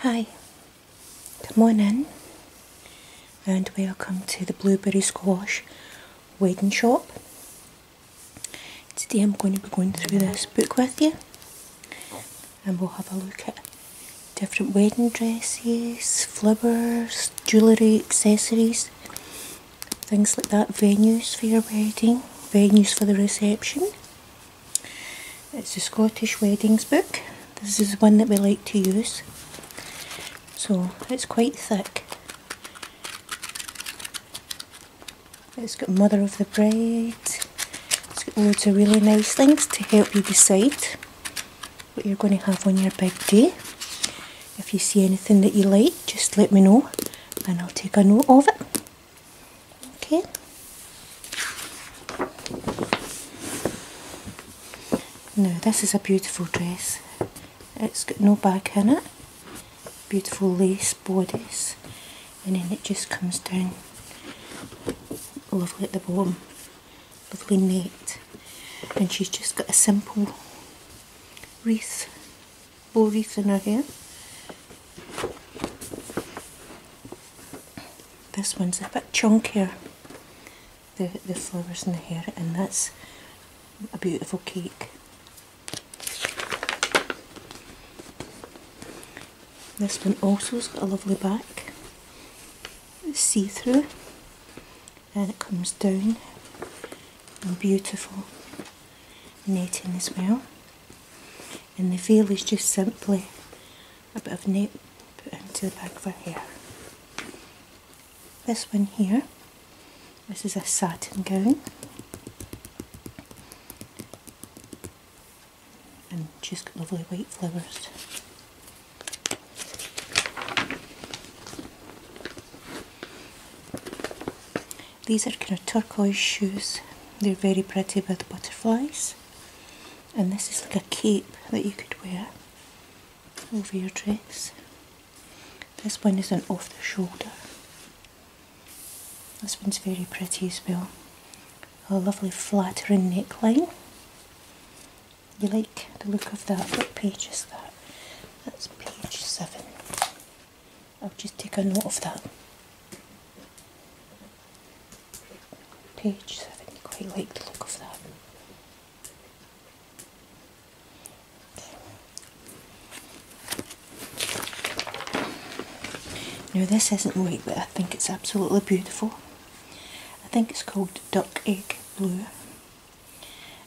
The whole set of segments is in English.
Hi, good morning, and welcome to the Blueberry Squash Wedding Shop. Today I'm going to be going through this book with you, and we'll have a look at different wedding dresses, flowers, jewellery, accessories, things like that, venues for your wedding, venues for the reception, it's a Scottish Weddings book. This is one that we like to use. So it's quite thick. It's got Mother of the Bride. It's got loads of really nice things to help you decide what you're going to have on your big day. If you see anything that you like, just let me know and I'll take a note of it okay No, this is a beautiful dress it's got no back in it beautiful lace bodice and then it just comes down lovely at the bottom lovely net and she's just got a simple wreath bow wreath in her hair this one's a bit chunkier, the, the flowers in the hair, and that's a beautiful cake. This one also has got a lovely back, see-through, and it comes down, and beautiful knitting as well and the veil is just simply a bit of nape put into the back of her hair. This one here, this is a satin gown and just lovely white flowers. These are kind of turquoise shoes. They're very pretty with butterflies. And this is like a cape that you could wear over your dress. This one is an off the shoulder. This one's very pretty as well. A lovely flattering neckline. You like the look of that? What page is that? That's page 7. I'll just take a note of that. Page 7, quite like the look of that. Now this isn't white but I think it's absolutely beautiful. I think it's called Duck Egg Blue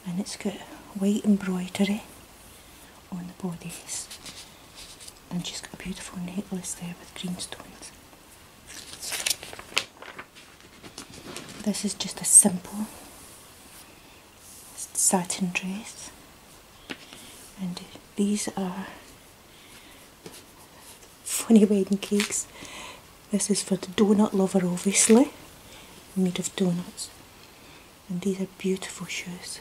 and it's got white embroidery on the bodice and she's got a beautiful necklace there with green stones. This is just a simple satin dress, and these are funny wedding cakes. This is for the donut lover, obviously, made of donuts, and these are beautiful shoes.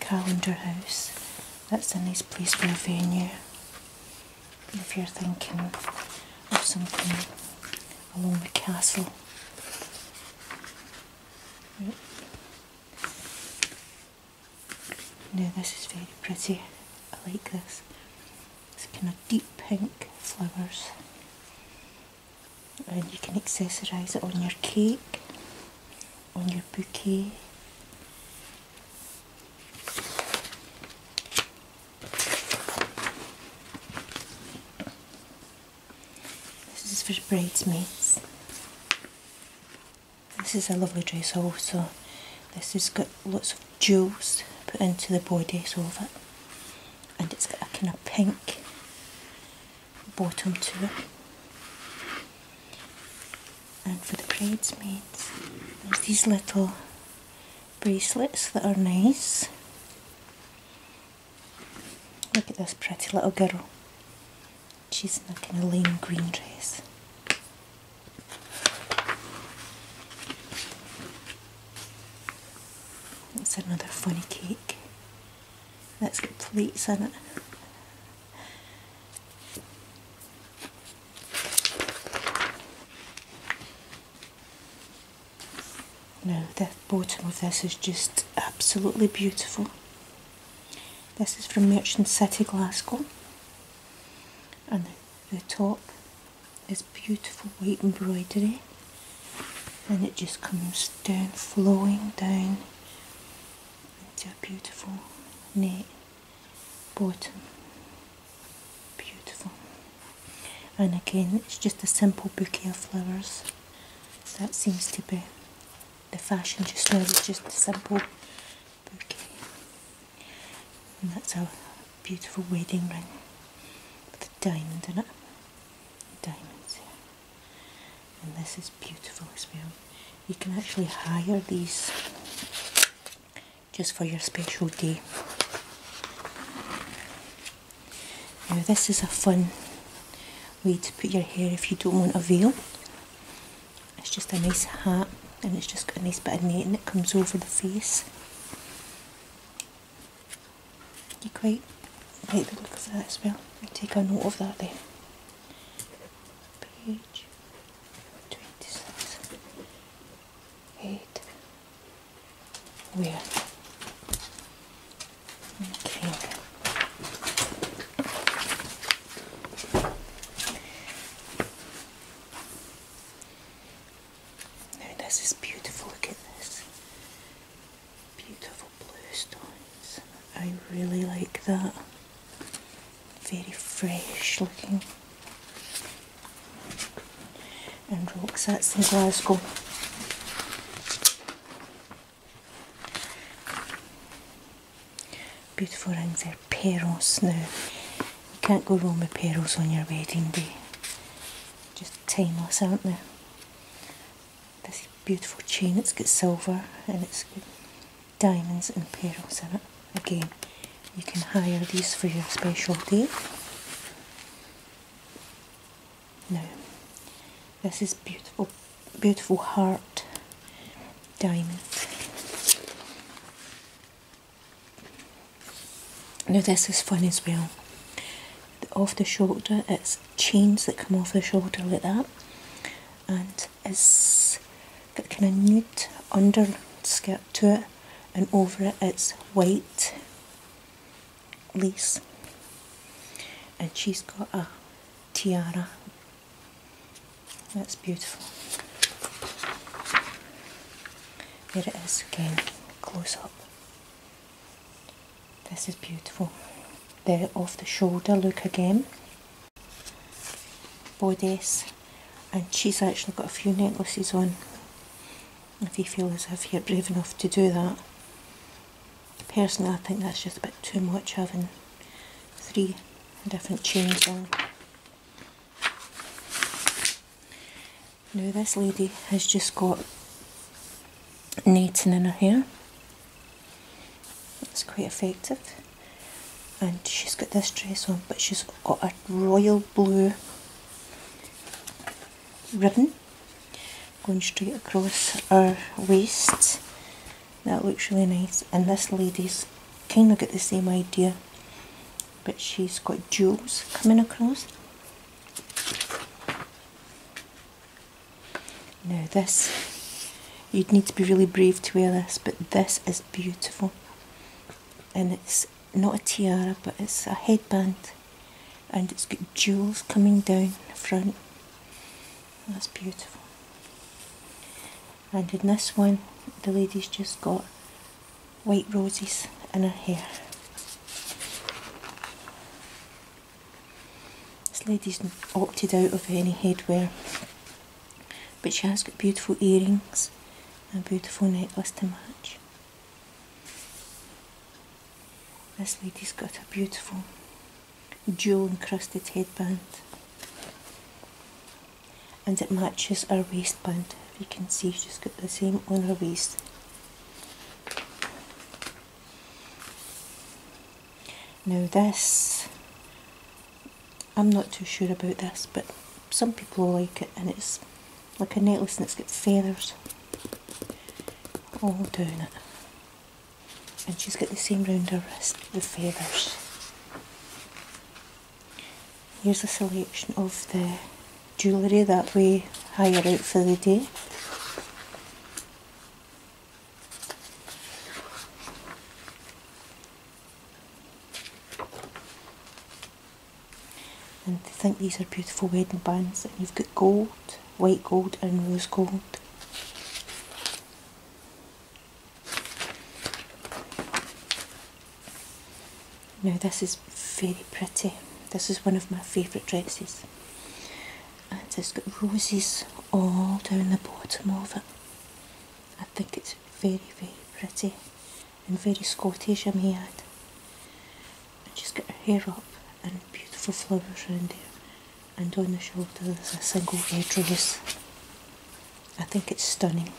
Calendar House, that's a nice place for a venue if you're thinking of something along the castle. Now this is very pretty, I like this. It's kind of deep pink flowers and you can accessorise it on your cake, on your bouquet. This is for bridesmaids. This is a lovely dress also. This has got lots of jewels put into the bodice of it. And it's got a kind of pink bottom to it. And for the bridesmaids, there's these little bracelets that are nice. Look at this pretty little girl. She's in a kind lime green dress. It's another funny cake that's got plates in it. No, the bottom of this is just absolutely beautiful. This is from Merchant City, Glasgow, and the top is beautiful white embroidery, and it just comes down, flowing down into a beautiful neat bottom. Beautiful, and again, it's just a simple bouquet of flowers that seems to be the fashion just now is just simple bouquet. And that's our beautiful wedding ring with a diamond in it. Diamonds. And this is beautiful as well. You can actually hire these just for your special day. Now this is a fun way to put your hair if you don't want a veil. It's just a nice hat and it's just got a nice bit of netting that comes over the face. You quite like the look of that as well. I take a note of that there. Page 26. Eight. Where? Okay. Now this is beautiful, look at this. Beautiful blue stones. I really like that. Very fresh looking. And rocks, that's in Glasgow. Beautiful rings there, pearls now. You can't go wrong with pearls on your wedding day. Just timeless, aren't they? This beautiful chain, it's got silver and it's got diamonds and pearls in it. Again, you can hire these for your special day. No, this is beautiful beautiful heart diamond. Now this is fun as well. Off the shoulder, it's chains that come off the shoulder like that, and it's got kind of nude underskirt to it, and over it it's white lace, and she's got a tiara that's beautiful. There it is again, close up. This is beautiful. The off the shoulder look again. Bodice. And she's actually got a few necklaces on. If you feel as if you're brave enough to do that. Personally, I think that's just a bit too much having three different chains on. Now this lady has just got netting in her hair. It's quite effective. And she's got this dress on, but she's got a royal blue ribbon going straight across her waist that looks really nice. And this lady's kind of got the same idea, but she's got jewels coming across. Now this, you'd need to be really brave to wear this, but this is beautiful. And it's not a tiara, but it's a headband. And it's got jewels coming down the front. That's beautiful. And in this one, the lady's just got white roses in her hair. This lady's opted out of any headwear, but she has got beautiful earrings and a beautiful necklace to match. This lady's got her beautiful jewel encrusted headband and it matches our waistband you can see she's got the same on her waist now this I'm not too sure about this but some people like it and it's like a necklace and it's got feathers Oh, down it and she's got the same rounder wrist with feathers. Here's a selection of the jewellery that we hired out for the day. And I think these are beautiful wedding bands and you've got gold, white gold and rose gold. Now this is very pretty. This is one of my favourite dresses. And it's got roses all down the bottom of it. I think it's very, very pretty and very Scottish I may add. And she's got her hair up and beautiful flowers around her and on the shoulder there's a single red I think it's stunning.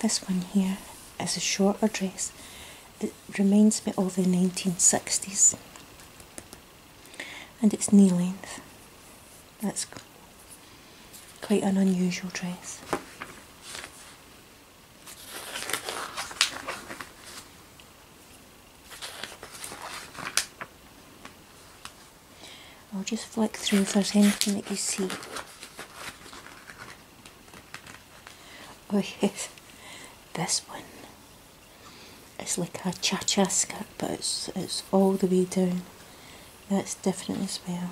This one here is a shorter dress that reminds me of the 1960s and it's knee length. That's quite an unusual dress. I'll just flick through for there's anything that you see. Oh yes, this one it's like a cha-cha skirt but it's, it's all the way down that's different as well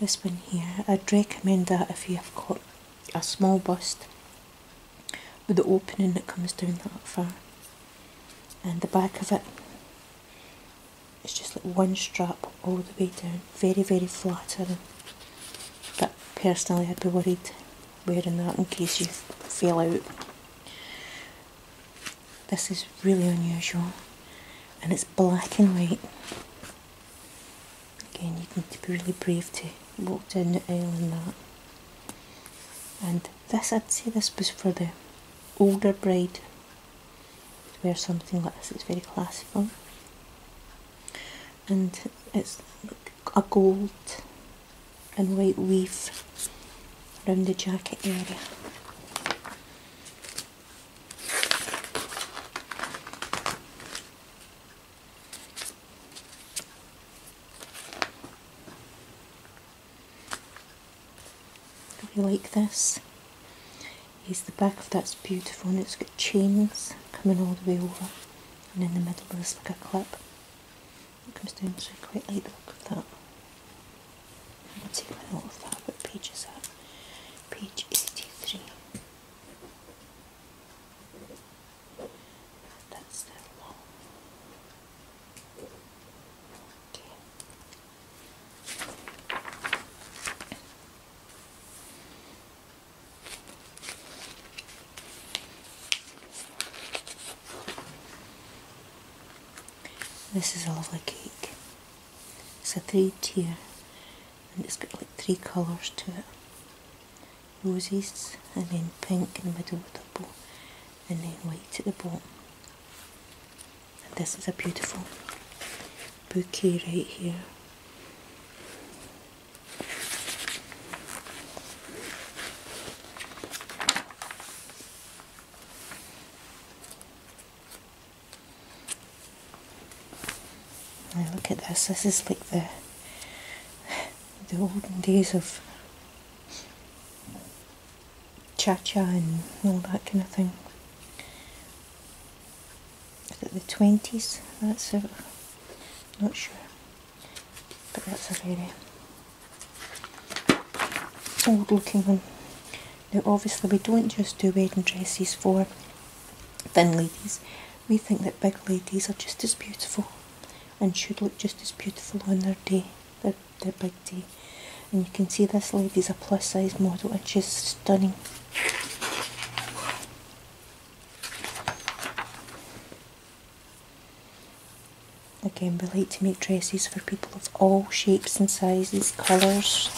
this one here I'd recommend that if you have got a small bust with the opening that comes down that far and the back of it it's just like one strap all the way down very very flattering but personally I'd be worried wearing that in case you fell out this is really unusual and it's black and white again you need to be really brave to walk down the aisle in that and this I'd say this was for the older bride to wear something like this, it's very classical and it's a gold and white leaf around the jacket area Really like this. Is the back of that's beautiful and it's got chains coming all the way over and in the middle there's like a clip that comes down so I quite like the look of that. I'm going to take my note of that. What page is that? Page 83. This is a lovely cake. It's a three tier and it's got like three colours to it roses and then pink in the middle with purple and then white at the bottom this is a beautiful bouquet right here look at this, this is like the the olden days of cha cha and all that kind of thing. Is it the 20s? That's it. Not sure. But that's a very old looking one. Now obviously we don't just do wedding dresses for thin ladies. We think that big ladies are just as beautiful and should look just as beautiful on their day, their, big day. And you can see this lady's a plus size model and she's stunning. Again, we like to make dresses for people of all shapes and sizes, colours.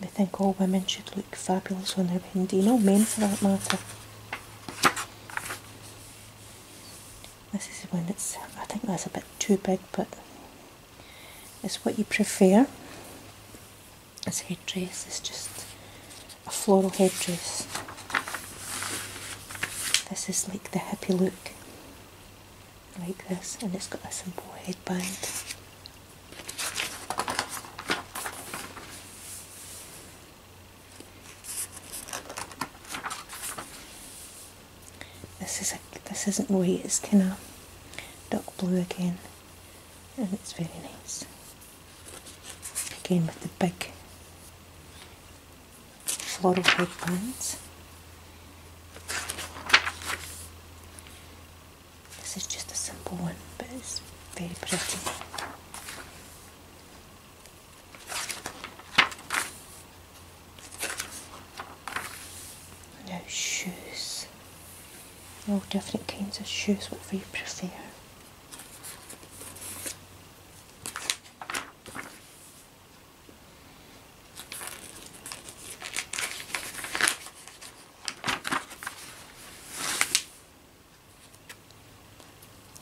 They think all women should look fabulous on their wedding day, no men for that matter. This is when it's. I think that's a bit too big, but it's what you prefer. This dress is just a floral head dress. This is like the hippie look, like this, and it's got a simple headband. This is a, this isn't white, it's kind of dark blue again, and it's very nice. Again with the big floral headbands. This is just a simple one, but it's very pretty. Now shoes. All different kinds of shoes, whatever you prefer.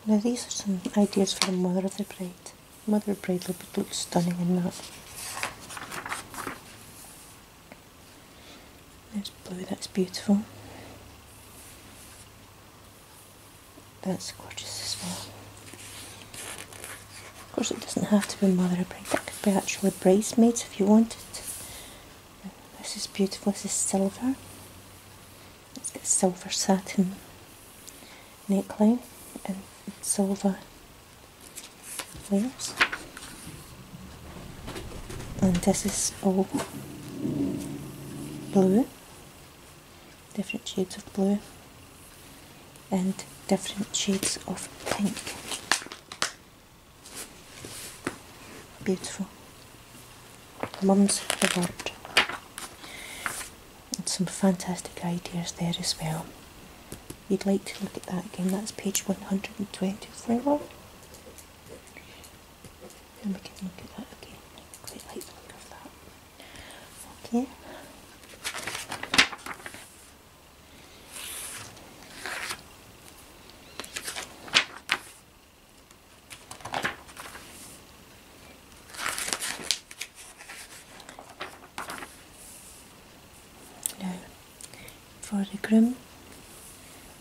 Now these are some ideas for the mother of the Bride. Mother of the Bride will look stunning in that. That's blue, that's beautiful. That's gorgeous as well. Of course it doesn't have to be mother of the Bride. that could be actually bridesmaids if you wanted. This is beautiful, this is silver. It's got silver satin neckline and silver layers. And this is all blue, different shades of blue and different shades of pink. Beautiful. Mum's reward. And some fantastic ideas there as well. You'd like to look at that again, that's page 124. And we can look at that again. quite like that. Okay. Now, for the groom,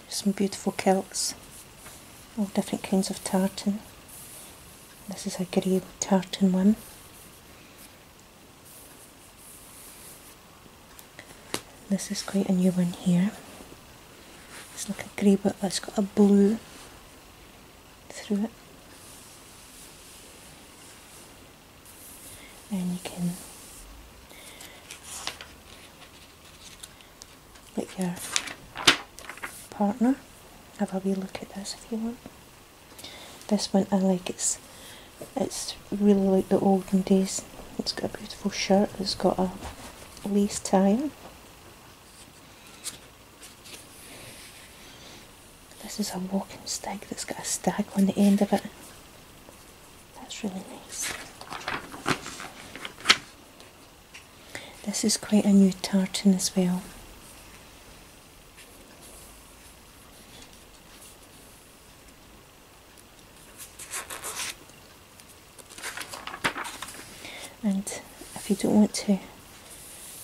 some beautiful kilts, all oh, different kinds of tartan. This is a grey tartan one. This is quite a new one here. It's like a grey but it's got a blue through it. And you can with your partner I'll have a look at this if you want. This one I like it's it's really like the olden days. It's got a beautiful shirt. It's got a lace tie. This is a walking stick that's got a stag on the end of it. That's really nice. This is quite a new tartan as well and if you don't want to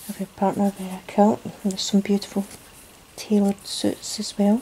have your partner there, a there's some beautiful tailored suits as well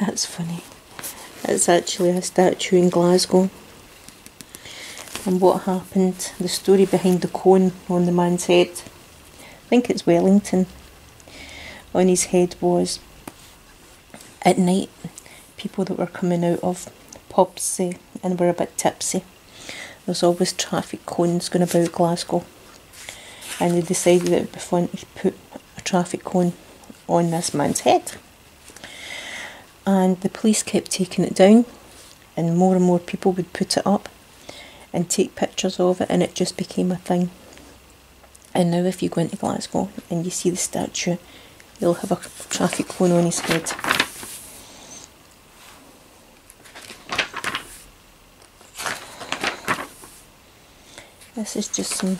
That's funny. It's actually a statue in Glasgow. And what happened, the story behind the cone on the man's head, I think it's Wellington, on his head was at night, people that were coming out of pubs and were a bit tipsy there's always traffic cones going about Glasgow, and they decided it would be fun to put a traffic cone on this man's head. And the police kept taking it down, and more and more people would put it up and take pictures of it, and it just became a thing. And now, if you go into Glasgow and you see the statue, you'll have a traffic cone on his head. This is just some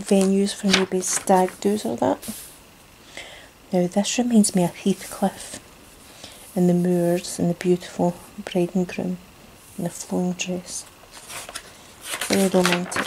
venues for maybe stag doos or that. Now this reminds me of Heathcliff and the moors and the beautiful bride and groom in the flowing dress. Very romantic.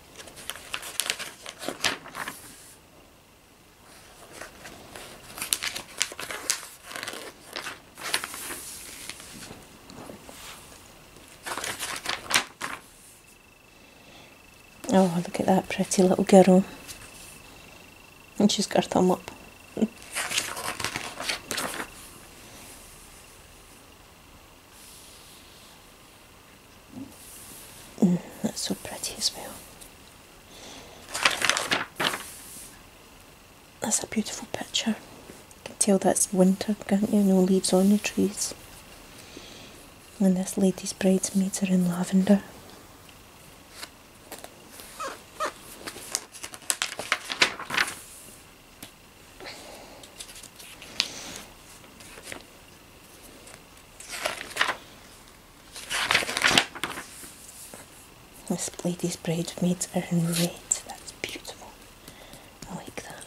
Oh, look at that pretty little girl. And she's got her thumb up. that's so pretty as well. That's a beautiful picture. You can tell that's winter, can't you? No leaves on the trees. And this lady's bridesmaids are in lavender. This lady's braid maids are in red. That's beautiful. I like that.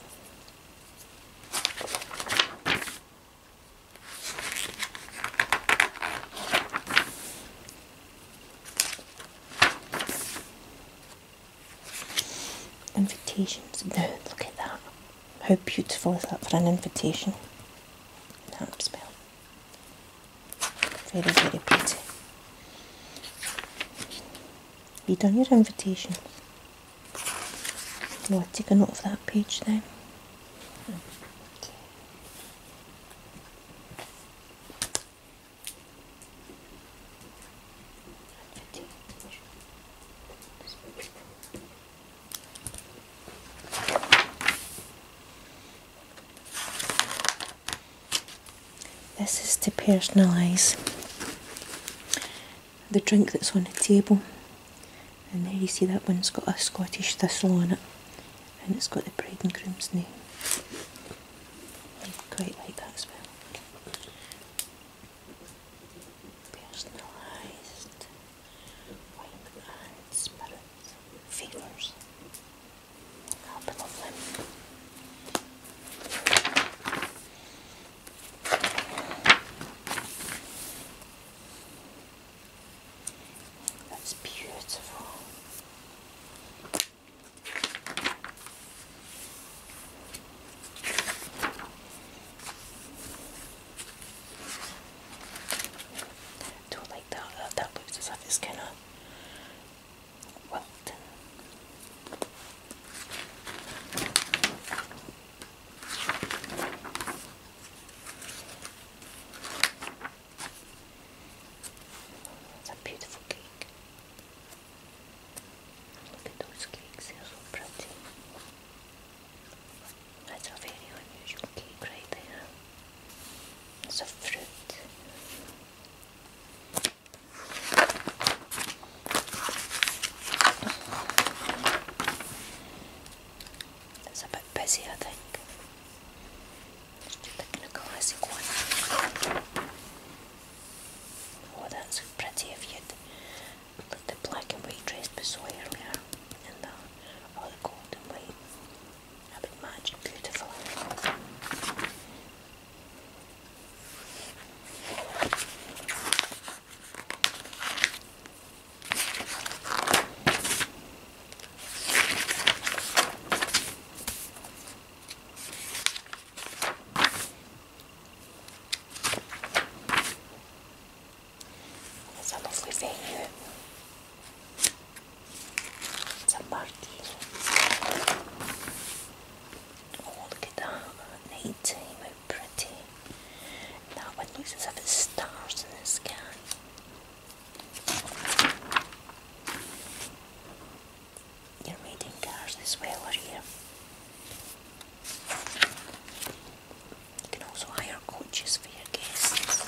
Invitations. look at that. How beautiful is that for an invitation? spell. Very, very pretty. You done your invitation? Now I take a note of that page then. This is to personalise the drink that's on the table. And there you see that one's got a Scottish thistle on it. And it's got the bride and groom's name. quite like that as well personalized white and spirit figures. That's beautiful. Do it like that. That, looks as if it's gonna wilted. a beautiful cake. Look cakes, are so pretty. That's a very unusual cake right there. It's a fruit. It's a bit busy, I think. just picking a classic one. Oh, that's pretty if you the black and white dress we saw earlier and uh, the other gold and white a bit match beautifully. Essa não foi feia. Essa look at that. Night time, how pretty. That one looks as if it's stars in the sky. You're reading cars as well, are you? You can also hire coaches for your guests.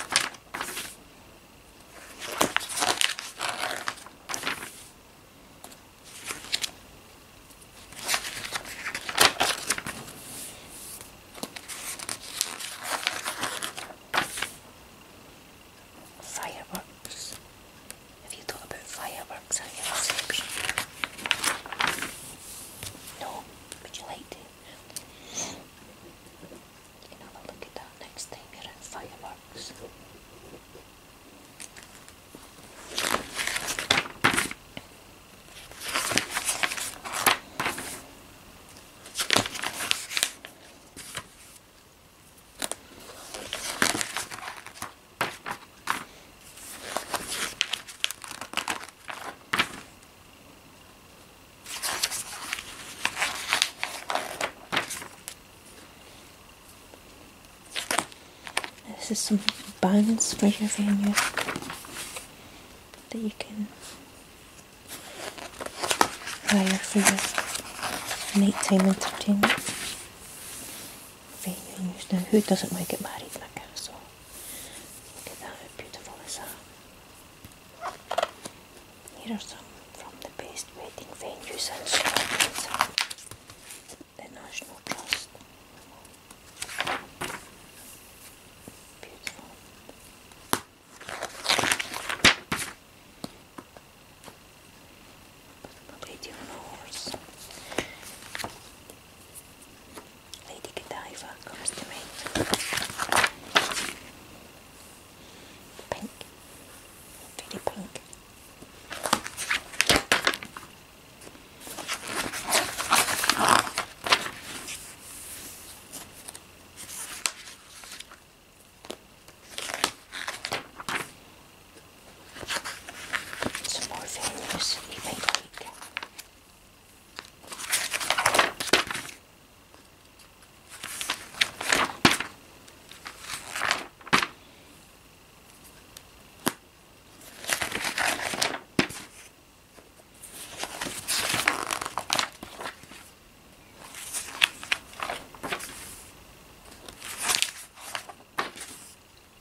Fireworks. Have you thought about fireworks? worms No? Would you like to? You can have a look at next time you're in fireworks. This is some bands for your here that you can wire for your nighttime entertainment. Very used now. Who doesn't want to get married in a castle? Look at that, how beautiful is Here are some from the best wedding venues in Scotland. The National Trust. Beautiful. A lady on a horse. Lady Godiva costumate. Pink. Really pink. Some more venues you may like.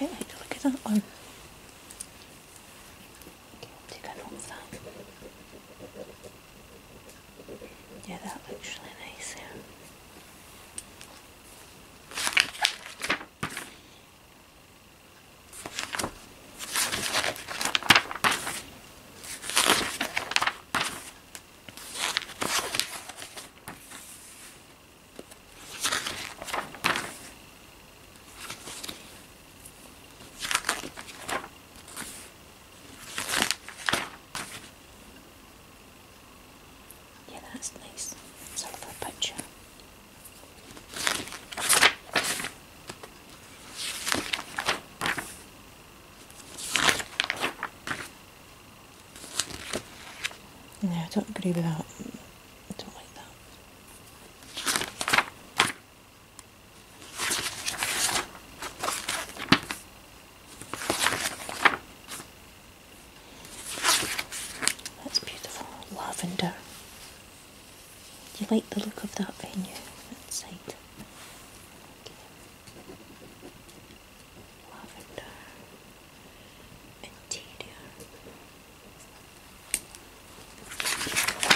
I like the look at that one. take a note of that. Yeah, that looks really nice there. Yeah, that's nice. Sort of picture. No, I don't agree with that. I don't like that. That's beautiful. Lavender. Do you like the look of that venue outside? Okay lavender, interior. Let's look at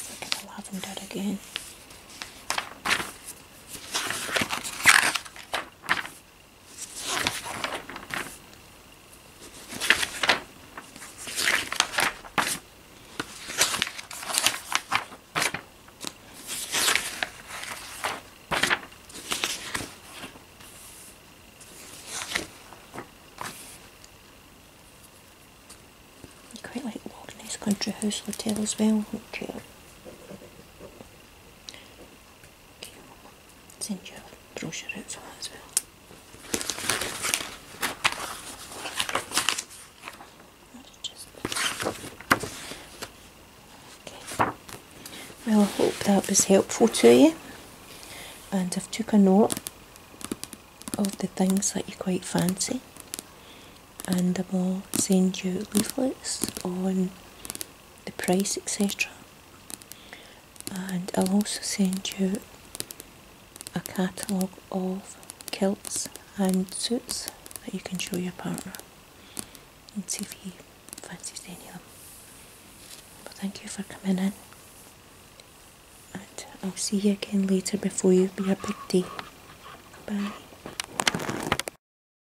the lavender again. You quite like walking this country house hotel as well, don't you? Send you brochure out for that as well. Okay. Well, I hope that was helpful to you, and I've took a note of the things that you quite fancy, and I will send you leaflets on the price etc and I'll also send you a catalogue of kilts and suits that you can show your partner and see if he fancies any of them. But thank you for coming in and I'll see you again later before you be a big day. Bye.